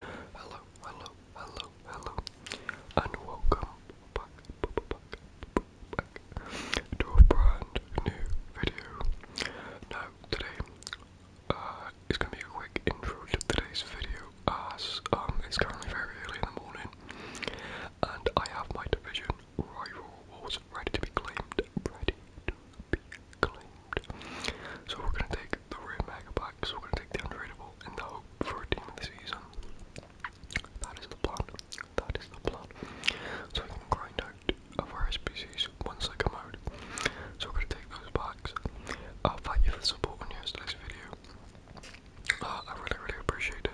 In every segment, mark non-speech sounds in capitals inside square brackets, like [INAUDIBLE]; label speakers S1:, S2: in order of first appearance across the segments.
S1: Hello, hello, hello, hello, and welcome back, to a brand new video. Now, today uh, is going to be a quick intro to today's video as um, it's currently very early in the morning and I have my division rival wars ready to be claimed, ready to be claimed. So we're gonna take the red mega black, so we're gonna take the untradeable and the hope for a team of the season. That is the plan. That is the plan. So we can grind out of our species once they come out. So we're gonna take those I'll fight uh, you for the support on yesterday's video. Uh, I really, really appreciate it.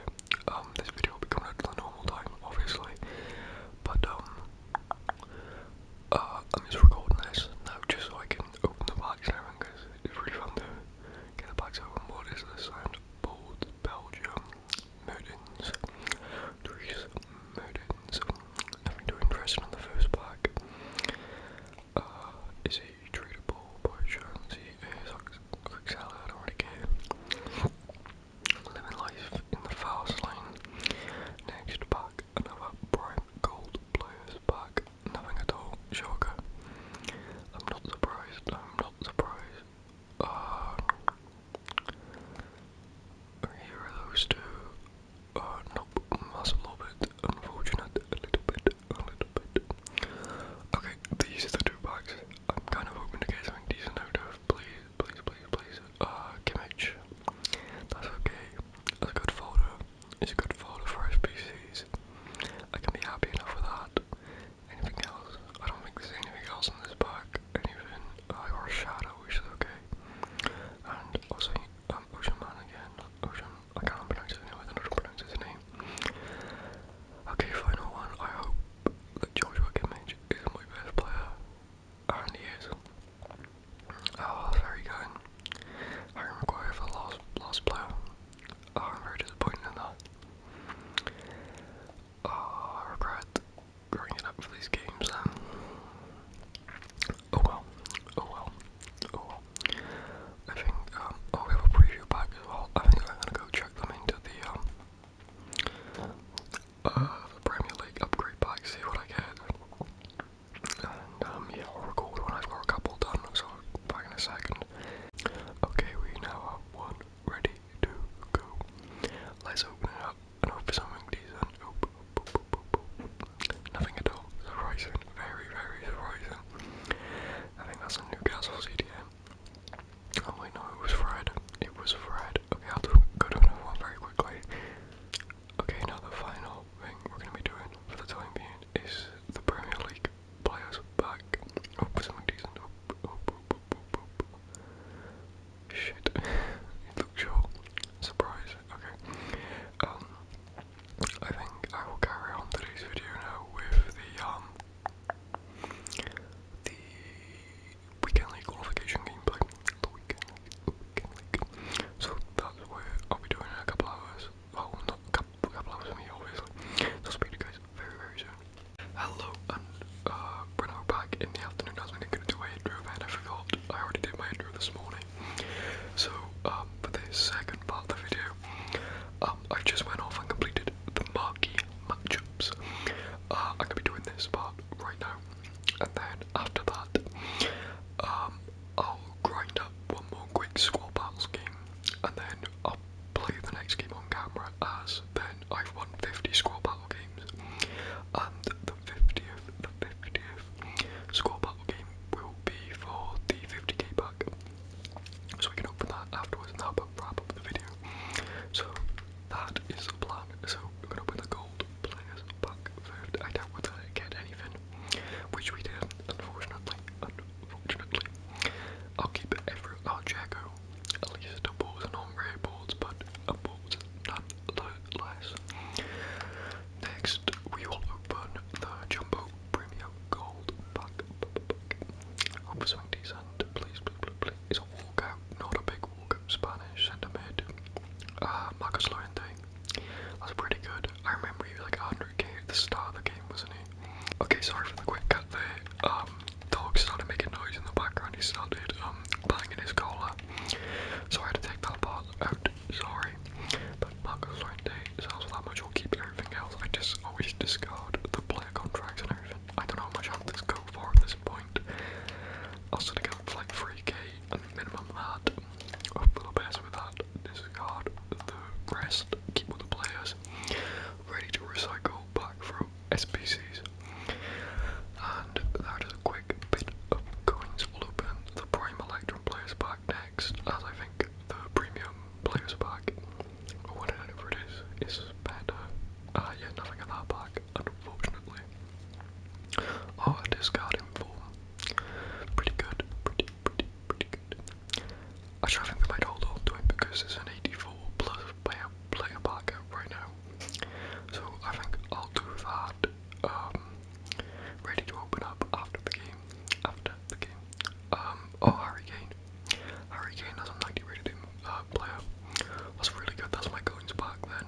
S1: Um, this video will be coming out at the normal time, obviously. But, um, I'm uh, just recording this now just so I can open the box and everything because it's really fun to get the box open. What is this sound? Bold Belgium Murdens. Therese Murdens. Nothing too interesting on the first pack. Uh, is he tradable by chance? He a quick seller, I don't really care. Living life in the fast lane. Next pack, another prime gold blues back, nothing at all, shocker. I'm not surprised, I'm not surprised. Ah. here are those two. Uh, nope, that's a little bit unfortunate, a little bit, a little bit. Okay, these are the two packs. I'm kind of hoping to get something decent out of, please, please, please, please. Uh, Kimmich, that's okay, that's a good folder is a good folder for SPCs. I can be happy enough with that. Anything else? I don't think there's anything else in this pack. Anything? I uh, or Shadow, which is okay. And also, um, Ocean Man again. Ocean, I can't pronounce his name, I don't know how to pronounce his name. Okay, final one. I hope that Joshua Kimmage is my best player. And he is. Oh, very good. Harry Maguire for Lost, Lost Blue. Oh, I'm very disappointed in that. Oh, I regret growing it up for these games Oh well, oh well, oh well. I think, um, we have a preview pack as well. I think I'm gonna go check them into the, um, uh, the Premier League upgrade pack, see what I get. Um, yeah, I'll record when I've got a couple done, so in a second. Okay, we now have one ready to go. Let's open it up and hope for something decent. Nothing at all. Surprising. Very, very surprising. I think that's a Newcastle CDM. Oh wait, no, it was Fred. It was Fred. Okay, I'll do, go to another one very quickly. Okay, now the final thing we're going to be doing for the time being is the Premier League players back. Oh, something oh, decent. Oh, oh, oh, oh, oh, oh, oh. Shit. [LAUGHS] it looks short. Surprise. Okay. Um, I think I will carry on today's video now with the, um, the Weekend League qualification gameplay the weekend, the weekend So that's what I'll be doing in a couple hours. Well, not a couple, a couple hours for me, obviously. So i speak to you guys very, very soon. Hello, and uh, when I'm back in the afternoon, I was going to do my intro, and I forgot. I already did my intro this morning. So, um, for the second part of the video, um, I just went off and completed the marquee matchups. Uh, I'm going to be doing this part right now and then after that, um, I'll grind up one more quick squad battles game, and then I'll play the next game on camera as then I've won 50 squad battle games, and the 50th, the 50th squad battle game will be for the 50k pack. So we can open that afterwards and that'll wrap up the video. So that is the plan. So we're gonna open the gold, players back served. I doubt whether they get anything, which we did unfortunately. Unfortunately, I'll keep every I'll check at least two boards and on rare boards, but a the nonetheless. Next, we will open the Jumbo Premium Gold pack. Hope something decent, please, please, please. It's a walkout, not a big one. Spanish, and I made Marcus Llorente. That's pretty good. I remember he was like 100k at the start of the game, wasn't he? Okay, sorry for the quick cut there. Um, dog started making noise in the background. He started um, banging his collar. So I had to take that part out. Sorry. But Marcus Llorente sells that much. I'll keep everything else. I just always discard the player contracts and everything. I don't know how much i am gonna go for at this point. I'll sort of get for like 3k and minimum that we'll pass discard the rest keep all the players ready to recycle back from SPCs and that is a quick bit of coins we'll open the prime electrum players pack next as I think the premium players pack or whatever it is is better uh, yeah nothing in that pack unfortunately. Oh, I discard him pretty good, pretty, pretty, pretty good. I think we might hold on to him because it's an 84 plus player, player Parker right now. So I think I'll do that. Um, ready to open up after the game. After the game. Um, oh, Harry Kane. Harry a 90 rated uh, player. That's really good. That's my coins back then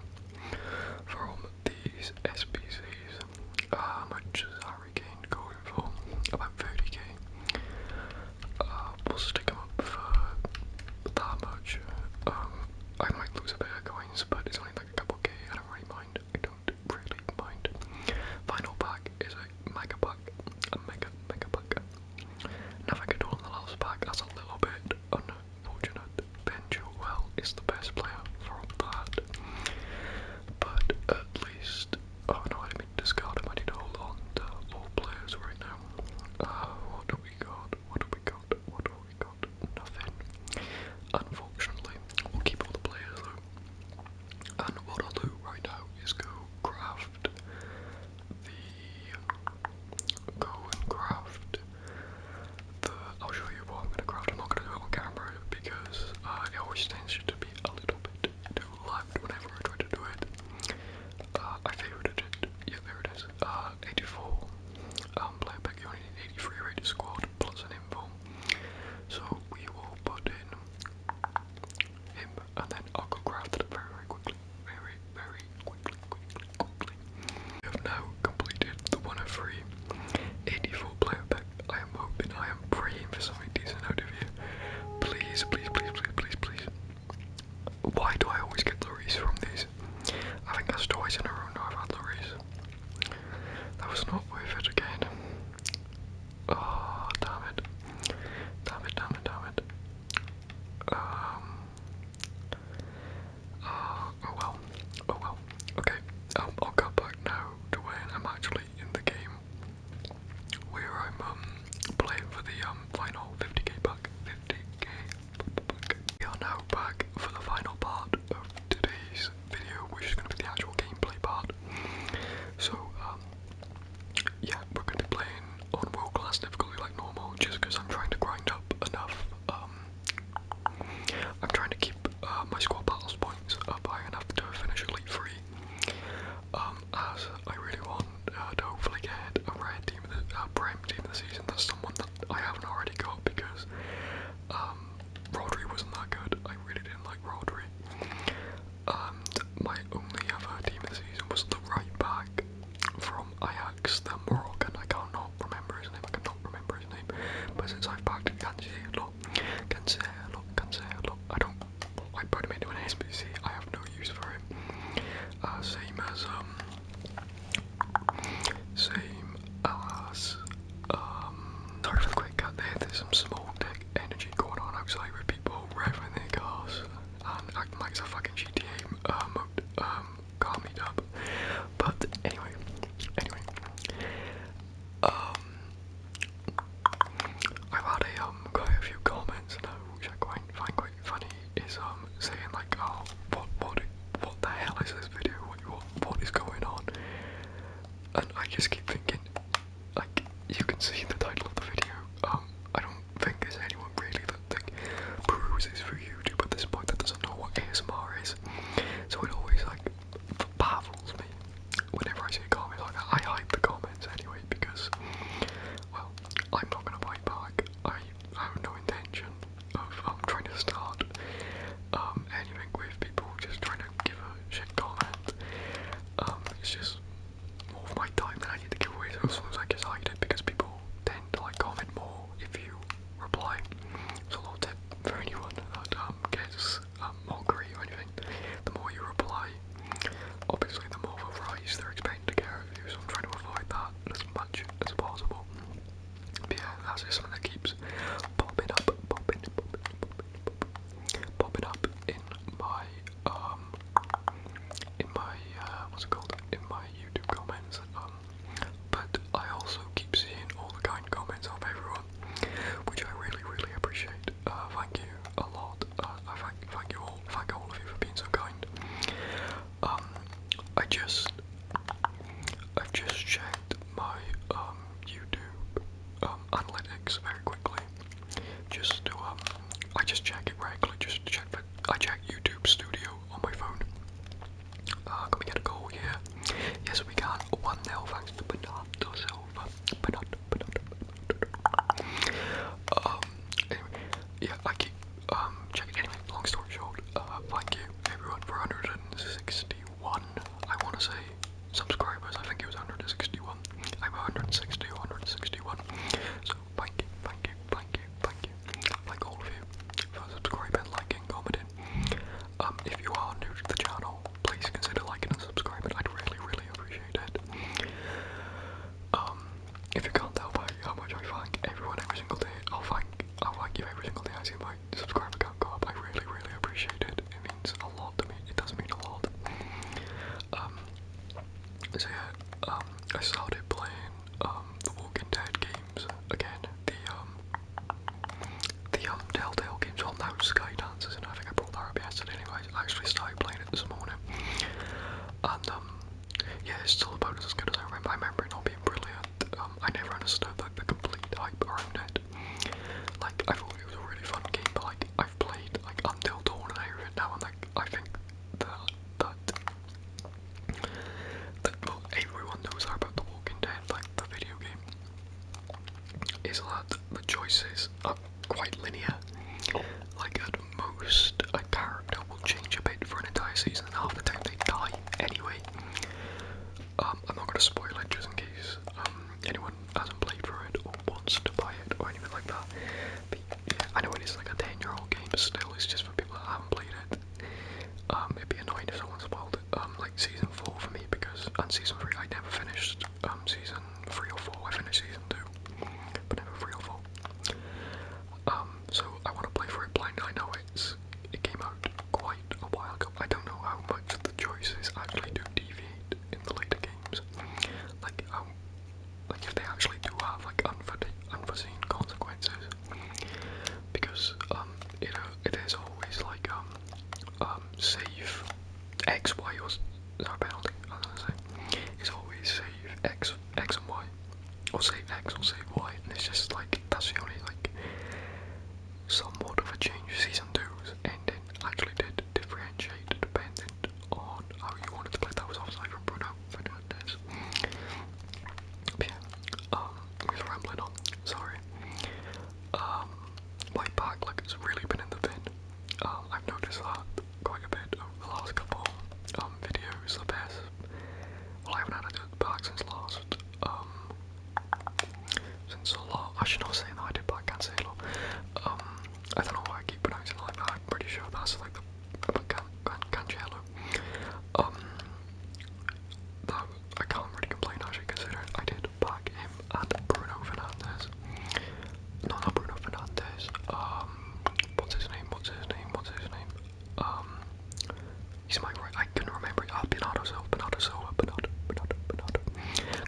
S1: from these SPCs, Uh, how much is Harry Kane going for? About 30k. Uh, we'll stick them up for that much. Um, I might lose a bit of coins, but it's only like a couple k. I don't really mind. I don't really mind. Final pack is a mega pack. A mega, mega pack. Nothing at all the last pack. That's a little bit un fortunate. Ben is the best player from that. But at least, oh no, I mean discard him. I need to hold on all players right now. Uh, what do we got? What do we got? What do we got? Nothing. Unfortunately, we'll keep all the players though. And what I'll do right now is go craft the go and craft I'll show you what I'm gonna craft. I'm not gonna do it on camera because uh, it always tends to be a little bit too loud whenever I try to do it. Uh, I favorited Yeah, there it is. Uh, 84. Um, player pack, you only need 83 rated squad plus an info. So we will put in him and then I'll go craft it very, very quickly very, very quickly, quickly, quickly. I have now completed the one three. 84 player pack. I am hoping, I am praying for something decent out of you. Please, please, please, please, please, please. Why do I always get lorries from these? I think that's twice in a row now I've had lorries. That was not worth it again. Oh, damn it. Damn it, damn it, damn it. Um, oh well, oh well. Okay, um, I'll cut back now to when I'm actually in the game, where I'm um, playing for the um, final 50k pack. 50k pack. We are now back for the final part of today's video, which is going to be the actual gameplay part. So, yeah, we're going to be playing on world class difficulty like normal just because I'm trying to grind up enough. Um, I'm trying to keep uh, my squad battles points up high enough to finish Elite 3. Um, as I really want uh, to hopefully get a rare team of the prime team of season. That's someone that I haven't already got because um, Rodri wasn't that good. I really didn't like Rodri. my only other team of the season was the right back from Ajax, the and I can't not remember his name, I cannot remember his name, but since I've packed backed Cancelo, Cancelo, Cancelo, I don't, I put him into an SPC. I have no use for him, uh, same as, um, same as, um, sorry for the quick cut there, there's some small tech energy going on outside with people revving their cars, um, act like it's a fucking GTA uh, mode, um, car um, meetup. But anyway, anyway, um, I've had a um quite a few comments now, which I quite quite funny. Is um saying like, oh, what what what the hell is this video? what what is going on? And I just keep thinking, like, you can see the title of the video. Um, I don't think there's anyone really do for YouTube at this point that doesn't know what ASMR is. So it always like baffles me whenever I see a like that. I hide the comments anyway because well, I'm not gonna bite back. I, have no intention of um, trying to start um anything with people just trying to give a shit comment. Um it's just more of my time than I need to give away so as I guess I did because people tend to like comment more if you reply. So a little tip for anyone that um, gets um, mockery or anything, the more you reply, obviously the more of a rise they're expecting to get out of you, so I'm trying to avoid that as much as possible. But yeah, that's just something that keeps popping up, popping, popping, popping, popping, popping up in my um, in my uh, what's it called? In my YouTube comments. Um, but I also keep seeing all the kind comments of everyone, which I really, really appreciate. Uh, thank you a lot. Uh, I thank, thank you all. Thank all of you for being so kind. Um, I just, I've just checked my YouTube analytics very quickly just to um, I just check it regularly, just to check that I check YouTube Studio on my phone. Uh, can we get a goal here? Yes, we can. One 0 thanks to Bernardo Silva. Bernardo, Bernardo, Bernardo. Um, anyway, yeah, I keep um checking. Anyway, long story short, uh, thank you everyone for 161. I want to say subscribers. I think it was 161. I'm 160 or 161. So Thank you, thank you, thank you, thank you, like all of you, for subscribing, liking, commenting. Um, if you are new to the channel, please consider liking and subscribing. I'd really, really appreciate it. Um, if you can't tell by how much I thank everyone every single day, i thank i thank you every single day I see my subscriber go up. I really, really appreciate it. It means a lot to me. It does mean a lot. Um, so yeah, um, I started playing um, the Walking Dead games again. The um, the um, Telltale games on well, now Skydancers, and I think I brought that up yesterday. Anyway, I actually started playing it this morning, and um, yeah, it's still about as good as I remember. I remember it not being brilliant. Um, I never understood like the complete hype around it. Like I thought it was a really fun game, but like I've played like Until Dawn and everything now, and like I think that that that well, everyone knows about The Walking Dead, like the video game, is that the choices are quite linear. Like at most, a character will change a bit for an entire season, and half the time they die anyway. Um, I'm not going to spoil it just in case um, anyone hasn't played for it or wants to buy it or anything like that. I know it is like a 10 year old game, but still, it's just for people that haven't played it. Um, it'd be annoying if someone spoiled um, like season 4 for me, because, on season 3, I never finished um, season 3 or 4, I finished season 2, but never 3 or 4. so I want to play for it blind, I know it's, it came out quite a while ago, I don't know how much the choices actually do deviate in the later games, like how like if they actually do have like unforeseen consequences, because um, you know it is always like um, um, save X, Y, or no penalty. I was gonna say it's always save X, X and Y, or save X or save Y, and it's just like that's the only like somewhat of a change season two's ending actually did differentiate depending it on how oh, you wanted to play. That was offside from Bruno Fernandes. But yeah, um, he's rambling on. Sorry. Um, my back, like, it's really been in the bin. Um, I've noticed that quite a bit over the last couple um videos. The best. Well, I haven't had a back since last. Um, since a lot. I should not say that I did back Cancelo. Um, I don't know why I keep pronouncing it like that. I'm pretty sure that's like the can, can, Cancelo. Um, I can't really complain actually, considering I did back him and Bruno Fernandes. No, not Bruno Fernandes. Um, what's his name? What's his name? What's his name? Um, he's my right. I couldn't remember. Ah, Bernardo Silva. Bernardo Silva. Bernardo. Bernardo. Bernardo.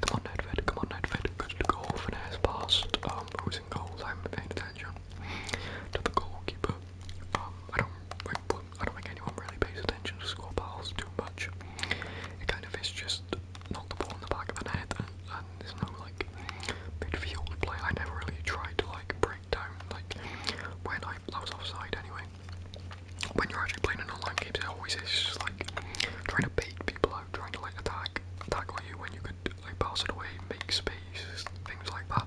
S1: Come on, Nedved. Come on, Nedved because the goal finesse past um, who's in goals. I am paying attention to the goalkeeper. Um, I don't, like, I don't think anyone really pays attention to score balls too much. It kind of is just knock the ball in the back of the net, and, there's no like midfield play. I never really tried to like break down like when I, I was offside anyway. When you're actually playing an online game, it always is like trying to bait people trying to like attack attack on you when you could like pass it away, make space, things like that.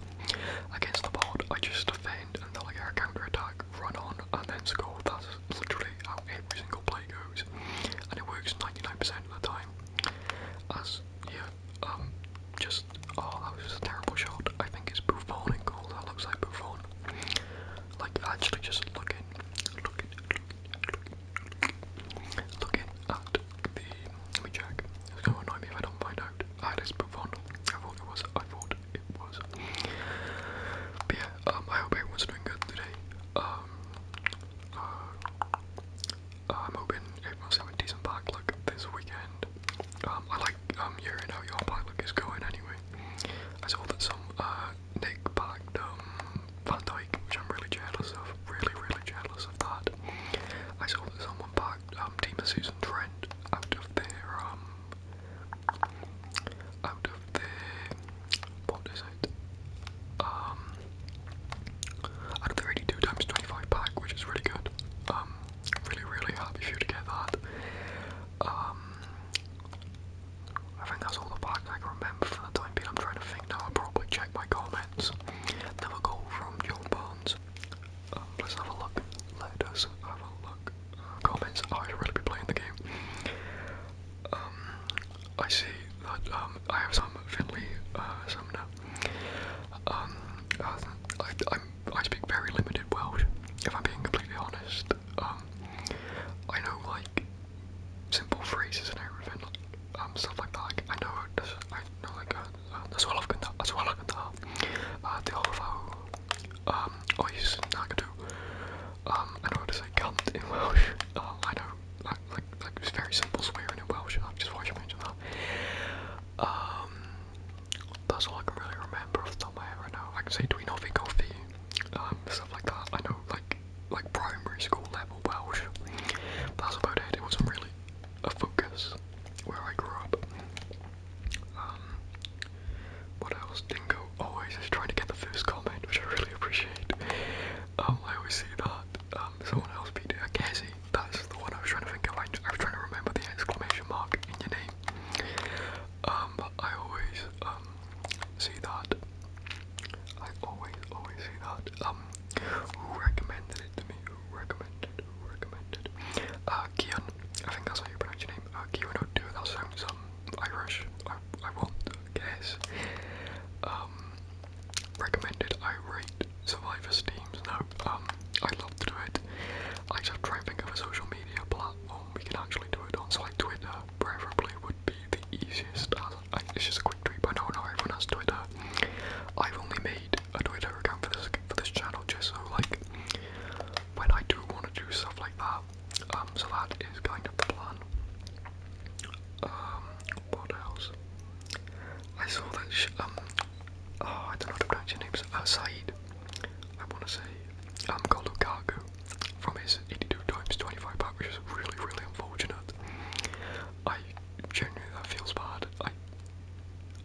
S1: Against the pod, I just defend and then like air counter attack, run on, and then score. That's literally how every single play goes, and it works 99% of the time. As yeah, um, just oh that was a terrible shot. I think it's Buffon in goal. That looks like Buffon. Like actually just looking, looking, looking, looking, Looking at the. Let me check. It's gonna annoy me if I don't find out. Ah, I had this on. I thought it was. I thought it was. But yeah, um, I hope everyone's doing good today. Um, uh, I'm hoping everyone's having a decent bike look this weekend. Um, I like um hearing how your bike look is going anyway. I saw that some uh Nick backed um, Van Dyke, which I'm really jealous of. Really, really jealous of that. I saw that someone backed um, Team Susan Trent out of their um, out of their what is it? Um, out of the 82 times 25 pack, which is really good. Um, really, really happy for you to get that. Um, I think that's all the parks I can remember for the time being. I'm trying to think now. I'll probably check my comments. Another call from John Barnes. Um, let's have a look. Let us have a look. comments. Oh, Are I really be playing the game. Um, I see that um, I have some Finley uh, Sumner. Um, I, i I speak very limited Welsh, if I'm being completely honest. Um, I know like simple phrases and everything, um, stuff like that. Like, I know this, I know like as well as well as the overflow. Um, oh, he's not do. Um, I know how to say cunt in Welsh. Uh, I know, like, like, it's very simple swearing Welsh. I just why you um, that's all I can really remember off the top of my head right now. I can say do we not think of the, stuff like that. I know, like, like primary school level Welsh. That's about it. It wasn't really a focus where I grew up. Um, what else? Dingo always is trying to get the first comment, which I really appreciate. Um, I always say that. Um, someone else beat it. I guess that's the one I was trying to think of. I, I was trying to remember the exclamation mark in your name. Um, I always um, see that. I always always see that. Um, who recommended it to me? recommended? recommended? Uh, Kian, I think that's how you pronounce your name. Uh Kian O'Do, that sounds um Irish. I won't guess. Um, recommended I rate Survivor's teams. No, um I love to do it. I just try and think of a social media platform we can actually do it on, so like Twitter, preferably would be the easiest. I, it's just a quick tweet, but no, not everyone has Twitter. I've only made a Twitter account for this for this channel just so like when I do want to do stuff like that. Um, so that is kind of the plan. Um, what else? I saw that um, oh, I don't know how to pronounce your names. Uh, Said, I want to say, I'm um, called Lukaku from his 82 times 25 back, which is really, really unfortunate. I genuinely, that feels bad. I,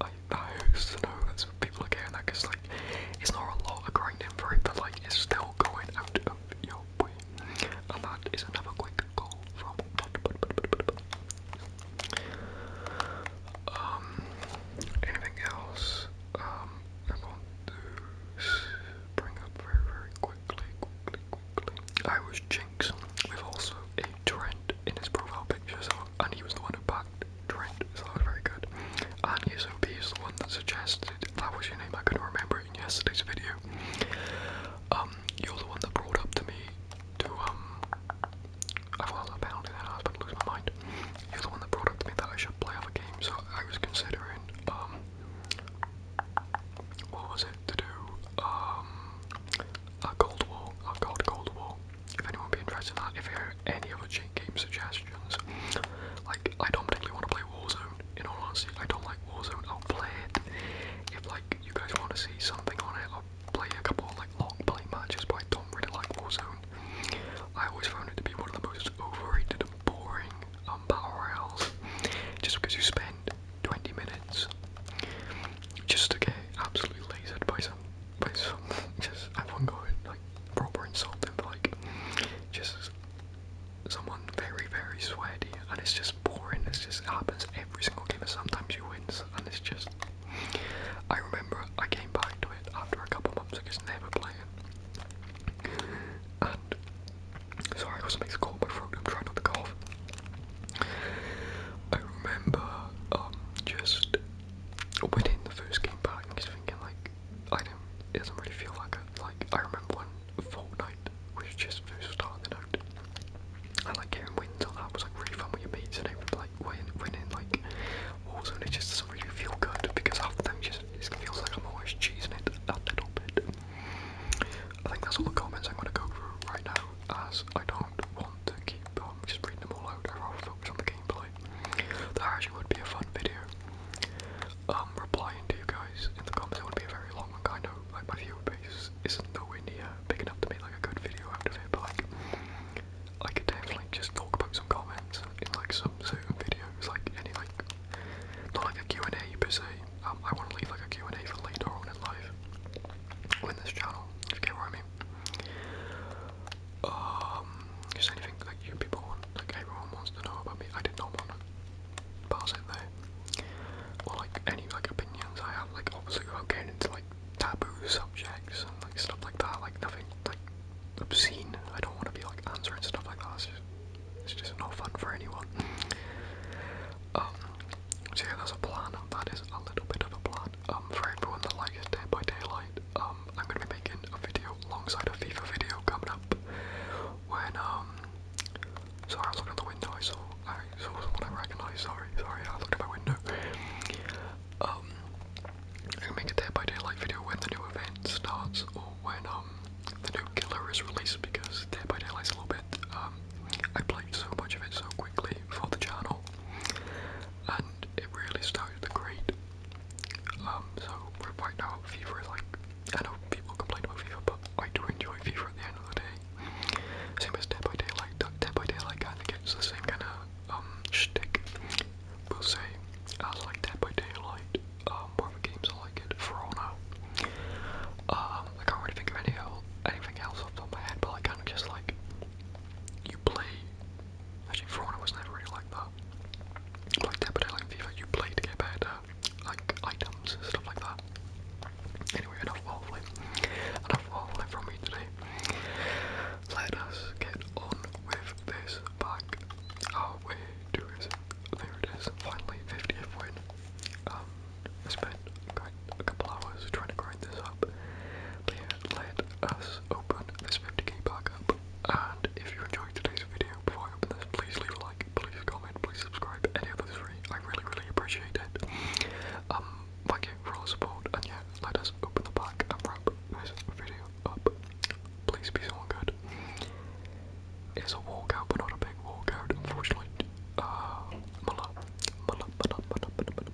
S1: I, I used to know that people are getting that because, like, it's not a lot of grinding for it, but, like, it's still going out of your way. And that is another quick goal from. Um, anything else? Um, I want to bring up very, very quickly, quickly, quickly. I was Jinx with also a Trent in his profile pictures, and he was the one who backed Trent, so that was very good. And USOP is the one that suggested, that was your name, I couldn't remember in yesterday's video. Um, you're the one that brought up to me to, um, I've a pound and I was about to lose my mind. You're the one that brought up to me that I should play other games, so I was considering, um, what was it to do? Um, a Cold War, a Cold Cold War. If anyone would be interested in that, if you have any other game suggestions, like, I don't particularly want to play Warzone, in all honesty, I don't like Warzone, I'll play it. If, like, you guys want to see something on it, I'll play a couple, like, long play matches, but I don't really like Warzone. I always found it to be one of the most overrated boring on Battle Royals just because you spend 20 minutes just to get absolutely lasered by some, by some, [LAUGHS] just everyone going like proper insulting, but like just someone very, very sweaty and it's just boring. It's just, happens every single game and sometimes you win and it's just, I remember I came back to it after a couple months I just never playing and sorry, I got something caught in my throat. I'm trying not to cough. I remember um, just winning the first game back and just thinking like, I don't. It doesn't really feel like it. Like I remember when Fortnite was just first starting night. I like getting wins on that was like really fun with your mates and everything. Like win, winning like Warzone, it just doesn't really feel good because half the time just it feels like I'm always cheesing it a little bit. I think that's all the comments I'm going to go through right now, as I don't want to keep um, just reading them all out. i will focus on the gameplay. The actually would be a fun video. Um, replying to you guys in the comments, it would be a very long one, kind of. Like, my viewer base isn't nowhere near big enough to make like a good video out of it, but like, I could definitely just talk about some comments times like some sort of videos, like any like not like a Q&A per se. Um, I want to leave like a Q&A for later on in life on this channel. If you get what I mean. Um, just anything like you people want, like everyone wants to know about me. I did not want to pass it there. Or like any like opinions I have, like obviously I'm getting into like taboo subjects and like stuff like that. Like nothing like obscene. I don't want to be like answering stuff like that. It's just, no fun for anyone. um, yeah, that's a plan. That is a little bit of a plan. Um, for everyone that likes Dead by Daylight, um, I'm gonna be making a video alongside a FIFA video coming up. When um, sorry, I was looking out the window. I saw, I saw someone I recognised. Sorry, sorry, I looked at my window. Um, I'm gonna make a day by Daylight video when the new event starts or when um the new killer is released because day by Daylight's a little bit. Um, I played so much of it so quickly for the channel, and it really started to grade. Um, so right now FIFA is like I know people complain about FIFA, but I do enjoy FIFA at the end of the day. Same as day by Daylight. Day by Daylight kind of gets the same kind of um, shtick per se. As like Dead by Daylight, um, one games I like it, For Honor. Um, I can't really think of any el anything else off the top of my head, but I kind of just like, you play, actually For I was never really like that. like Dead by Daylight and FIFA, you play to get better, like, items, stuff like that. Anyway, enough waffling. Enough waffling from me today. Let us get on with this back. Oh, wait, There it is. Finally, 50th win. Um, I spent quite a couple hours trying to grind this up. let us open this 50k back up. And if you enjoyed today's video, before I open this, please leave a like, please comment, please subscribe, any of those three. I really, really appreciate it. Um, thank you for all the support, and yeah, let us open the pack and wrap this video up. Please be someone good. It's a walkout, but not a big walkout, unfortunately. Uh, Muller, Muller, Muller, Muller, Muller,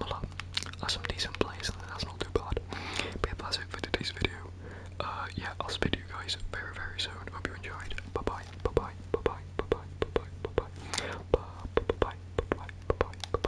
S1: Muller, That's some decent plays, and that's not too bad. But that's it for today's video. Uh, yeah, I'll speak to you guys very, very soon. Hope you enjoyed. Bye bye, bye bye, bye bye, bye bye, bye bye, bye bye, bye bye, bye bye, bye bye.